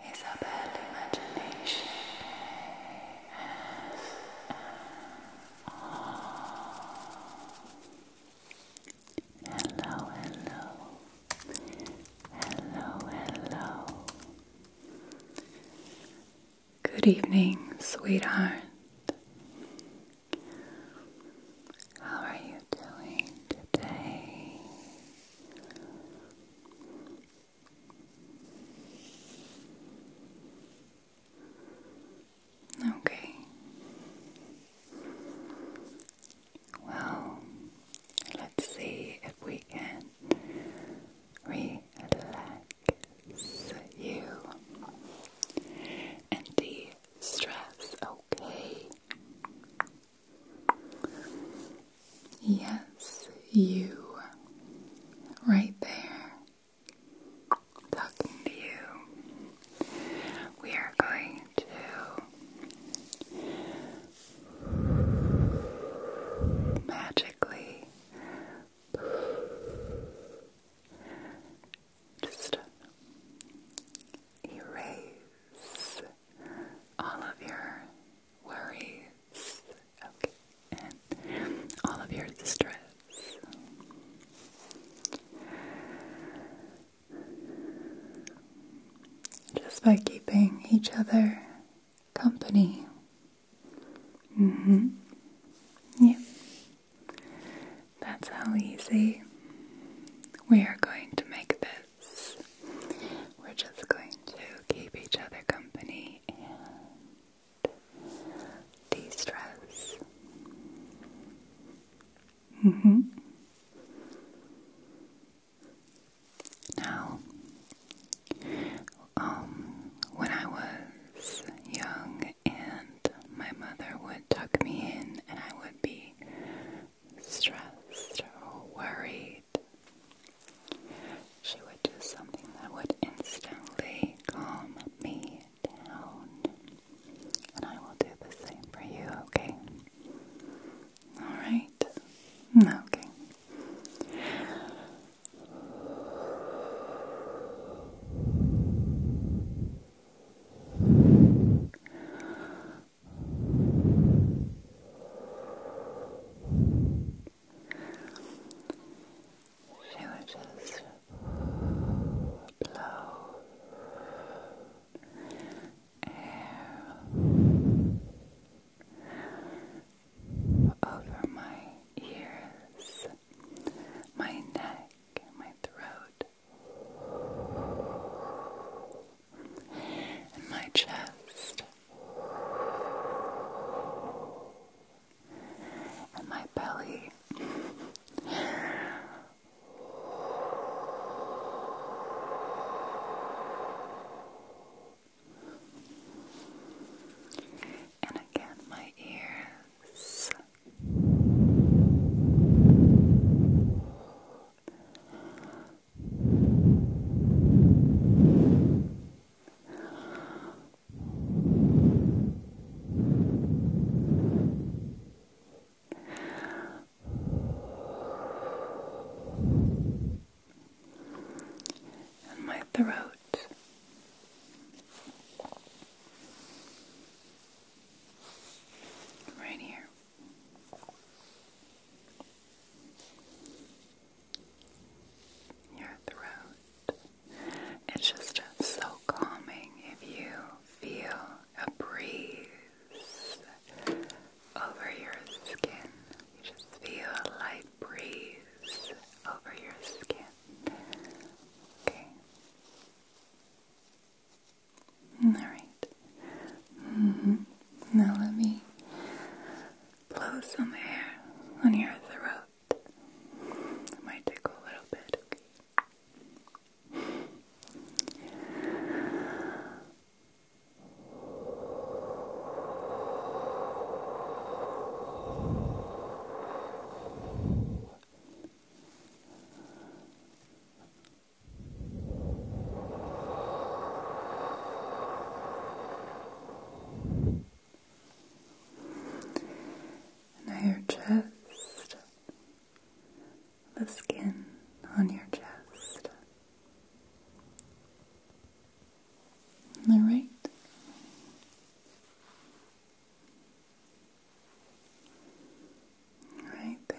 Isabel Imagination Hello, hello, hello, hello. Good evening, sweetheart. How are you doing today? Okay. Well, let's see if we can relax you and de stress, okay? Yes, you. Right there. Talking to you. We are going to magically just erase all of your worries, okay, and all of your distress. Just by keeping each other company. hmm Yep. That's how easy we are going to make this. We're just going to keep each other company and de stress. -hmm. Now, um, when I was young and my mother would tuck me in and I would be stressed or worried, she would do something that would instantly calm me down. And I will do the same for you, okay? Alright? Mm, okay. She would just blow air over my ears, my neck, my throat and my chest and my belly. And again, my ears and my throat. Right here. Your throat. It's just so calming if you feel a breeze over your skin. You just feel a light breeze over your skin. Okay. Alright. Mm-hmm. Now let me blow some air on your throat. might tickle a little bit, now your chest, the skin on your chest. All right. Right there.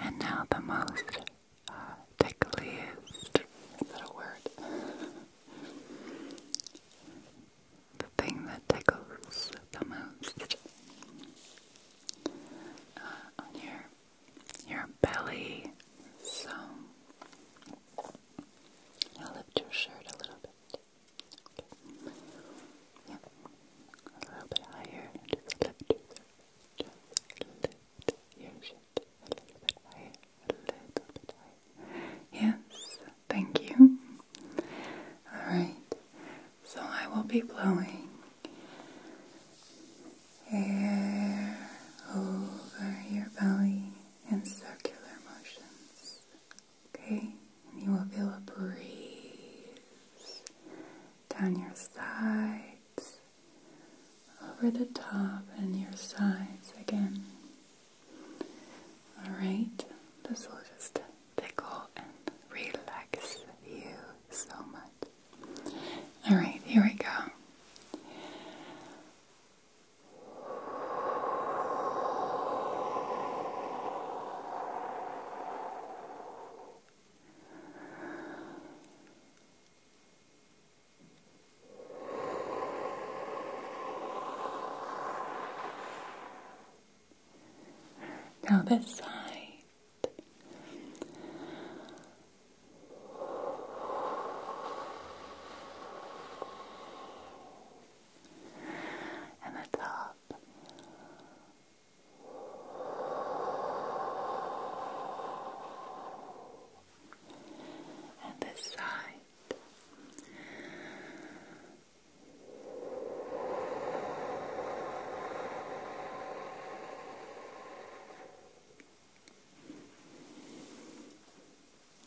And now the most uh, tickliest, is word? the thing that tickles the most uh, on your your belly. So lift your shirt a little bit. Yeah. A little bit higher. lift your shirt a little bit higher. A little bit higher. Yes. Thank you. All right. So I will be blowing air over your belly in circular motions. Okay? And you will feel a breeze down your sides, over the top, and your sides again. Alright? This will just tickle and relax you so much. Alright, here we go. Now, this side and the top. And this side,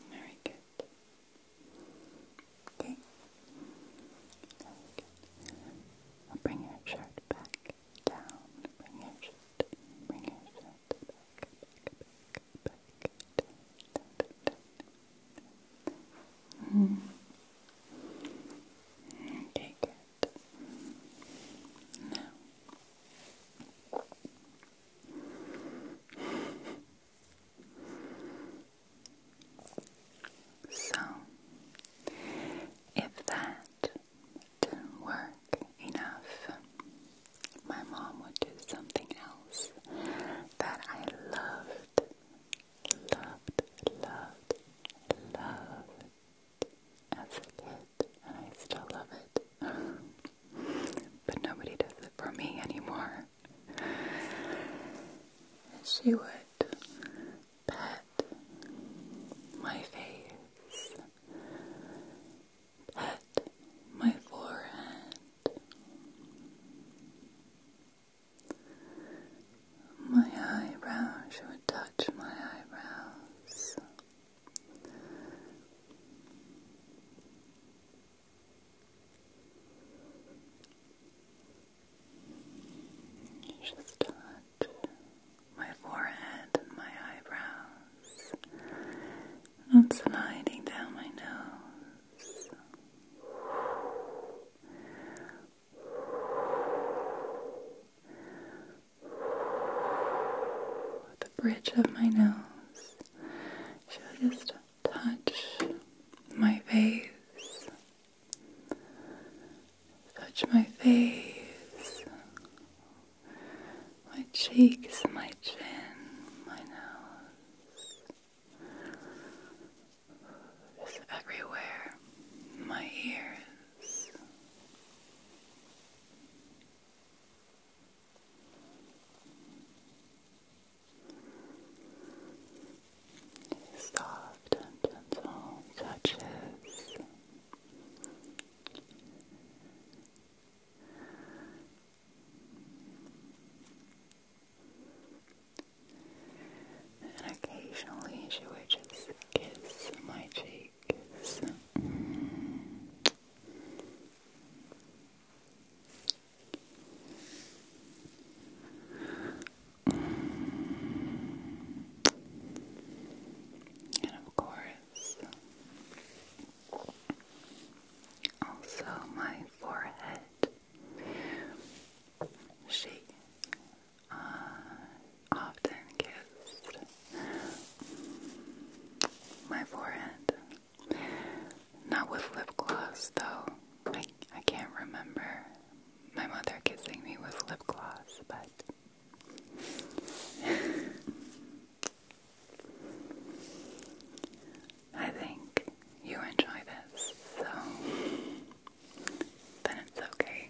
very good. Okay. Very I'll bring your shirt back down. Bring your shirt. Bring your shirt back, back, back, back. Down, down, down, down. Mm. Okay, good. So, if that didn't work enough, my mom would do something else that I loved loved, loved, loved as a kid, and I still love it. but nobody does it for me anymore. She would pet my face, pet my forehead. My eyebrows, you touch my eyebrows. You touch my forehead and my eyebrows. And I'm sliding down my nose the bridge of my nose. She'll just touch my face, touch my face, my cheeks, my chin, my nose. It's everywhere, my ears. Soft and gentle touches and occasionally she would just kiss my cheeks. And of course, also my forehead she uh, often kissed my forehead. Not with lip gloss, though. I, I can't remember my mother kissing me with lip gloss, but. I think you enjoy this, so then it's okay.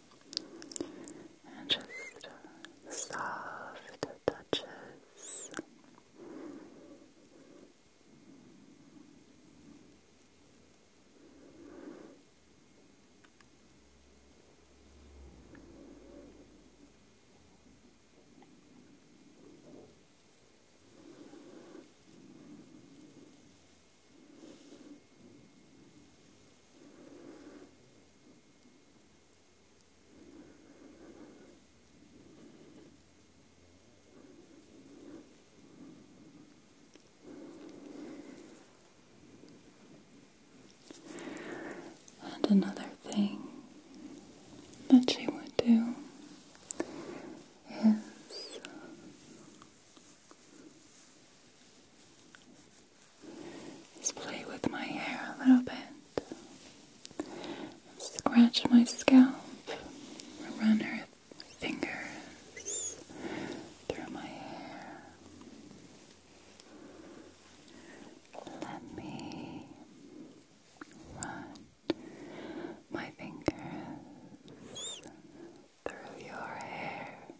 and just uh, soft touches. And another thing that she would do is just play with my hair a little bit, scratch my scalp, run her fingers through my hair. Let me run my fingers through your hair.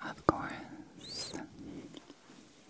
And of course,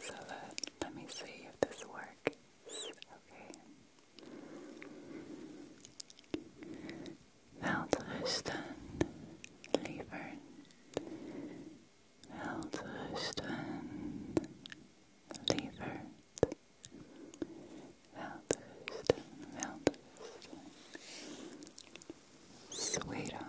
So that, let me see if this works. Okay. Welterusten, lieverd. Welterusten, lieverd. Welterusten, welterusten. Sweetheart.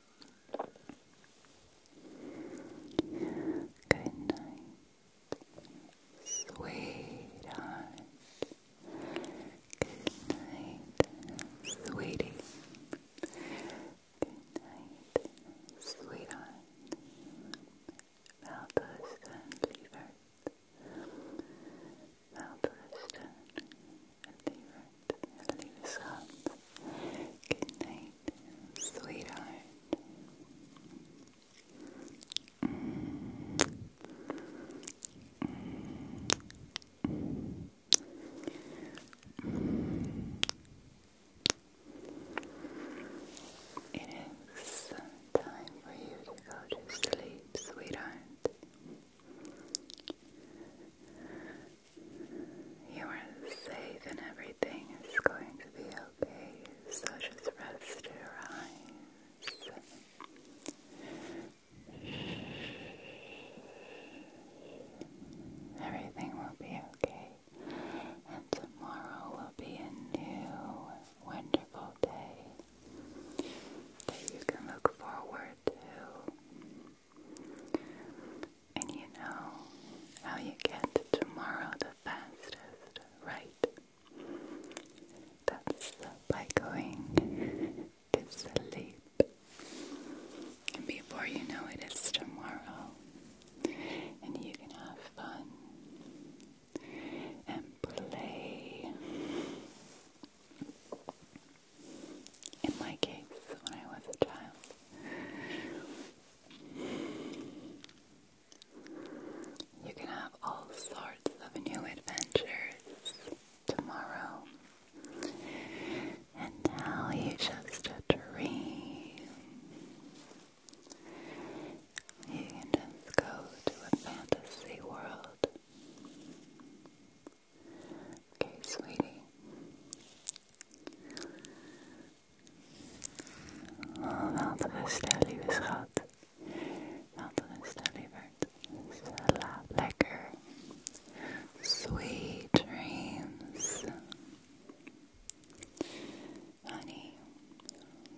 Good night, sweetheart. Good night, sweetie. Good night, sweetheart. Valdosta Levert. Valdosta Levert. Leave us up. Good night, sweetheart. It is time for you to go to sleep, sweetheart. You are safe and everything is going to be okay. So just rest your eyes. Everything will be okay. And tomorrow will be a new, wonderful day that you can look forward to. And you know how you get tomorrow the fastest, right? That's by going to sleep. And before you know it, it's tomorrow. And you can have fun and play. In my case, when I was a child, you can have all sorts of new adventures tomorrow. And now you just dream. You can just go to a fantasy world. Okay, sweetie. Laten we stel lieve schat. Laten we stel lieverd. Slaap lekker. Sweet dreams. Honey.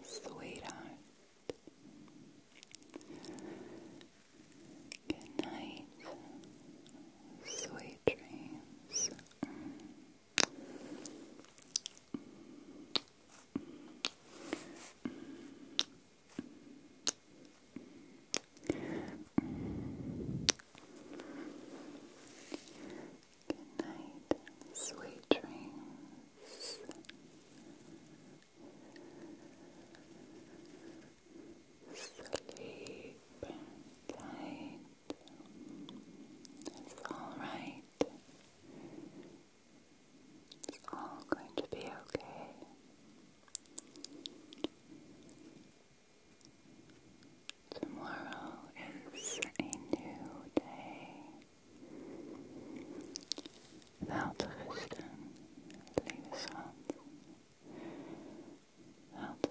Sweetheart. Good night. Sweet dreams. Good night, sweet dreams. Sleep tight. It's alright. It's all going to be okay. Tomorrow is a new day. Welterusten, lieve schat out of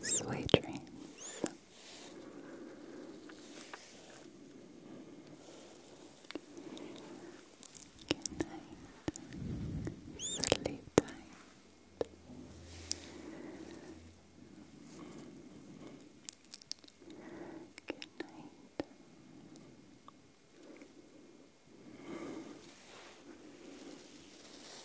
Sweet dreams. Good night. Sleep tight. Good night.